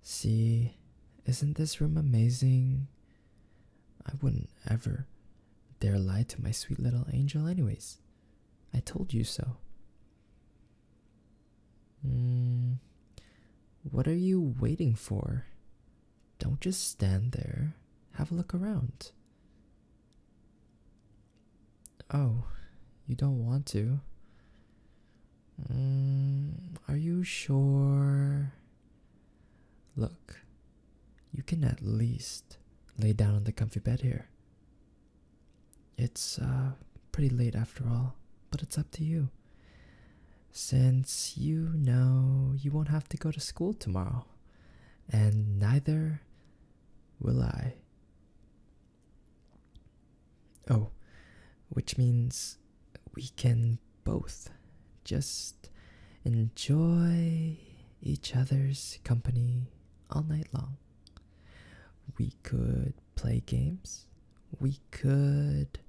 See, isn't this room amazing? I wouldn't ever dare lie to my sweet little angel, anyways. I told you so. Hmm, what are you waiting for? Don't just stand there. Have a look around. Oh, you don't want to? Mm, are you sure? Look, you can at least lay down on the comfy bed here. It's uh, pretty late after all, but it's up to you. Since you know you won't have to go to school tomorrow, and neither will I. Oh, which means we can both just enjoy each other's company all night long. We could play games, we could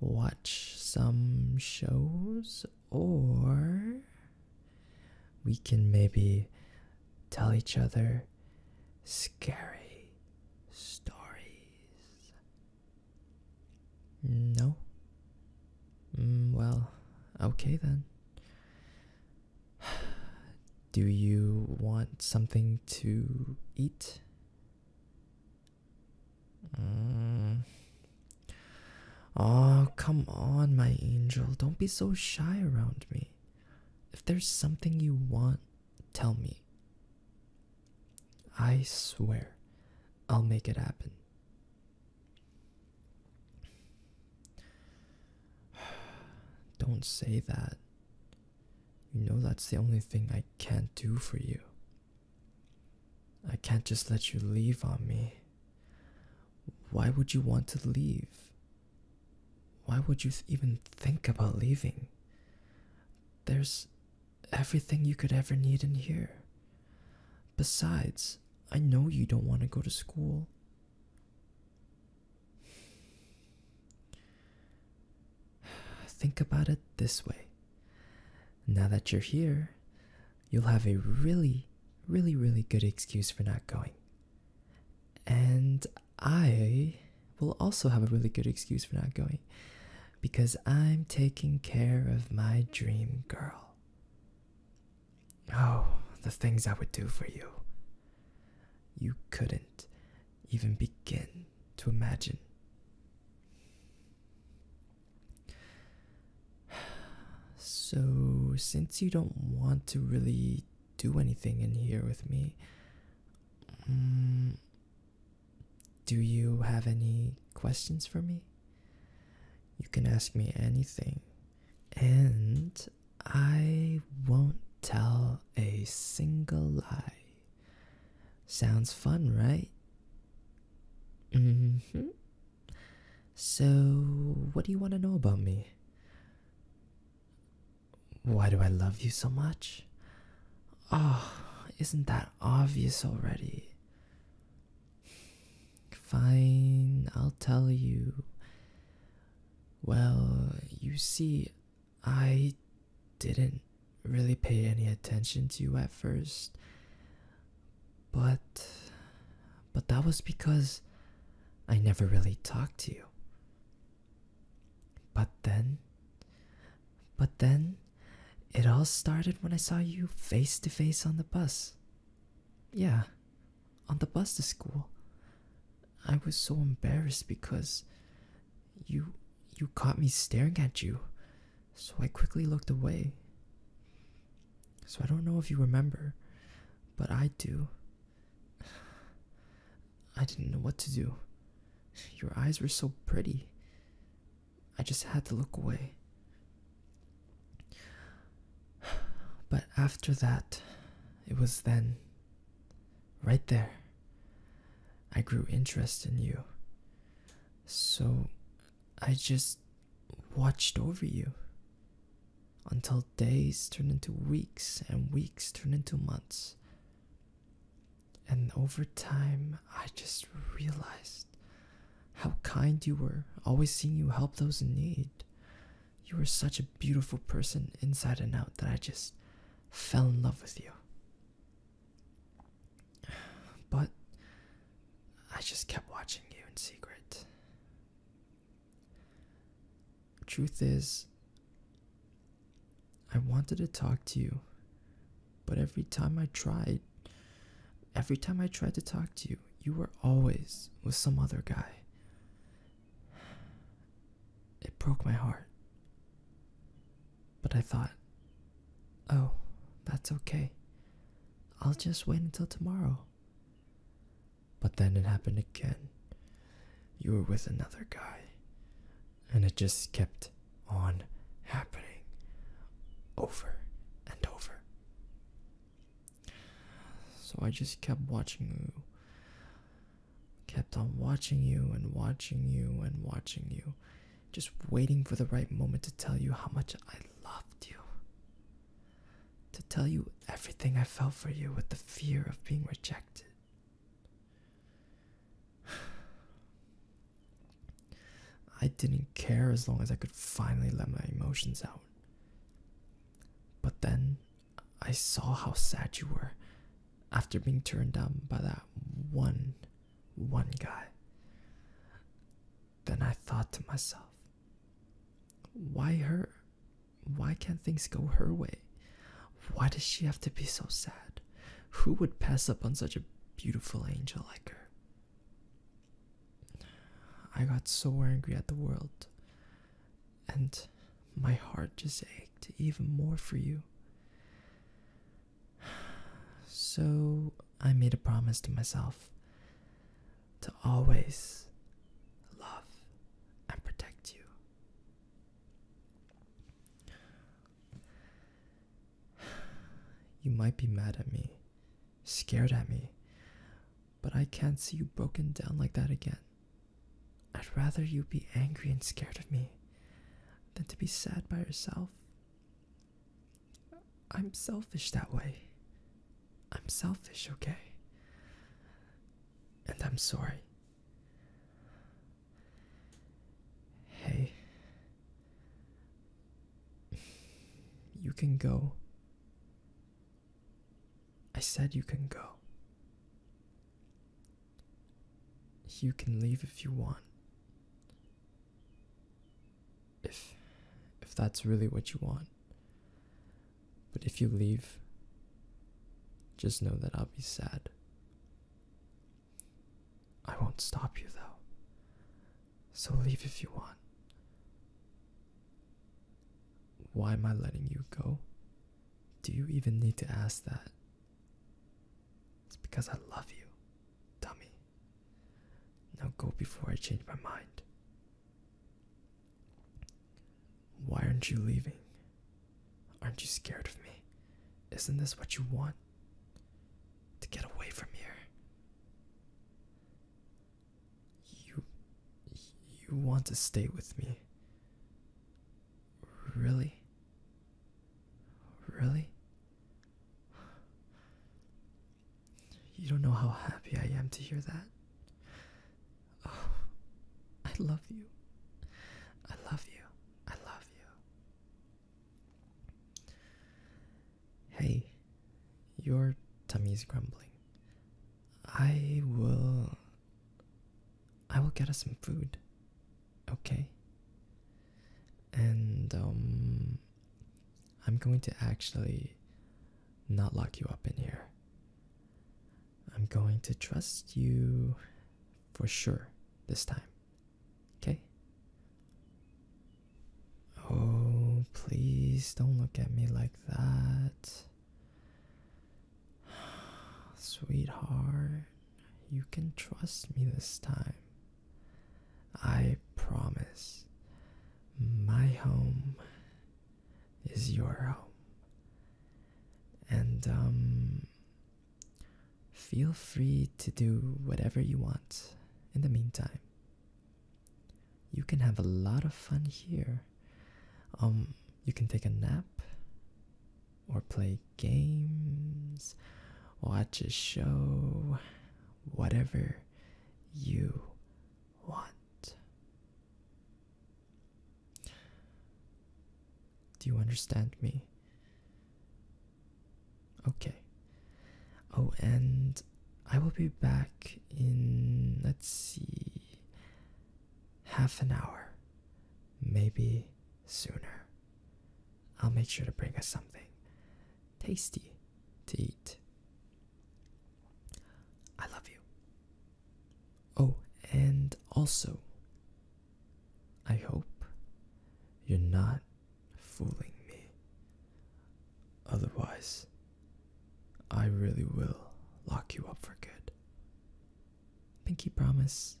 watch some shows, or we can maybe tell each other scary stories? No. Mm, well, okay then. Do you want something to eat? Mm. Oh, come on, my angel. Don't be so shy around me. If there's something you want, Tell me. I swear I'll make it happen. Don't say that. You know that's the only thing I can't do for you. I can't just let you leave on me. Why would you want to leave? Why would you even think about leaving? There's everything you could ever need in here. Besides, I know you don't want to go to school. Think about it this way. Now that you're here, you'll have a really, really, really good excuse for not going. And I will also have a really good excuse for not going because I'm taking care of my dream girl. Oh, the things I would do for you. You couldn't even begin to imagine. So, since you don't want to really do anything in here with me, Mm, do you have any questions for me? You can ask me anything, and I won't tell a single lie. Sounds fun, right? Mm-hmm. So, what do you want to know about me? Why do I love you so much? Oh, isn't that obvious already? Fine, I'll tell you. Well, you see, I didn't really pay any attention to you at first. But but that was because I never really talked to you. But then, but then, it all started when I saw you face to face on the bus. Yeah, on the bus to school. I was so embarrassed because you you caught me staring at you. So I quickly looked away. So I don't know if you remember, but I do. I didn't know what to do. Your eyes were so pretty. I just had to look away. But after that, it was then, right there, I grew interest in you. So I just watched over you until days turned into weeks and weeks turned into months and over time, I just realized how kind you were, always seeing you help those in need. You were such a beautiful person inside and out that I just fell in love with you. But I just kept watching you in secret. Truth is, I wanted to talk to you, but every time I tried, every time I tried to talk to you, you were always with some other guy. It broke my heart. But I thought, oh, that's okay. I'll just wait until tomorrow. But then it happened again. You were with another guy. And it just kept on happening over and over. So I just kept watching you. Kept on watching you and watching you and watching you. Just waiting for the right moment to tell you how much I loved you. To tell you everything I felt for you with the fear of being rejected. I didn't care as long as I could finally let my emotions out. But then I saw how sad you were after being turned down by that one, one guy. Then I thought to myself, why her? Why can't things go her way? Why does she have to be so sad? Who would pass up on such a beautiful angel like her? I got so angry at the world, and my heart just ached even more for you. So I made a promise to myself to always love and protect you you might be mad at me, scared at me, but I can't see you broken down like that again. I'd rather you be angry and scared of me than to be sad by yourself. I'm selfish that way. I'm selfish, okay? and I'm sorry. Hey, you can go. I said you can go. You can leave if you want. If if that's really what you want. But if you leave, just know that I'll be sad. I won't stop you, though. So leave if you want. Why am I letting you go? Do you even need to ask that? It's because I love you, dummy. Now go before I change my mind. Why aren't you leaving? Aren't you scared of me? Isn't this what you want? To get away from here? You. you want to stay with me? Really? Really? You don't know how happy I am to hear that. Oh, I love you. I love you. I love you. Hey, your tummy is grumbling. I will. I will get us some food. Okay? And, um. I'm going to actually not lock you up in here. I'm going to trust you for sure this time. Okay? Oh, please don't look at me like that. Sweetheart, you can trust me this time. I promise. My home is your home. And um, feel free to do whatever you want in the meantime. You can have a lot of fun here. Um, you can take a nap, or play games, watch a show, whatever you what? Do you understand me? Okay. Oh, and I will be back in, let's see, half an hour. Maybe sooner. I'll make sure to bring us something tasty to eat. I love you. Oh, and also, I hope you're not fooling me. Otherwise, I really will lock you up for good. Pinky promise.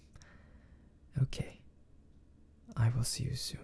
okay, I will see you soon.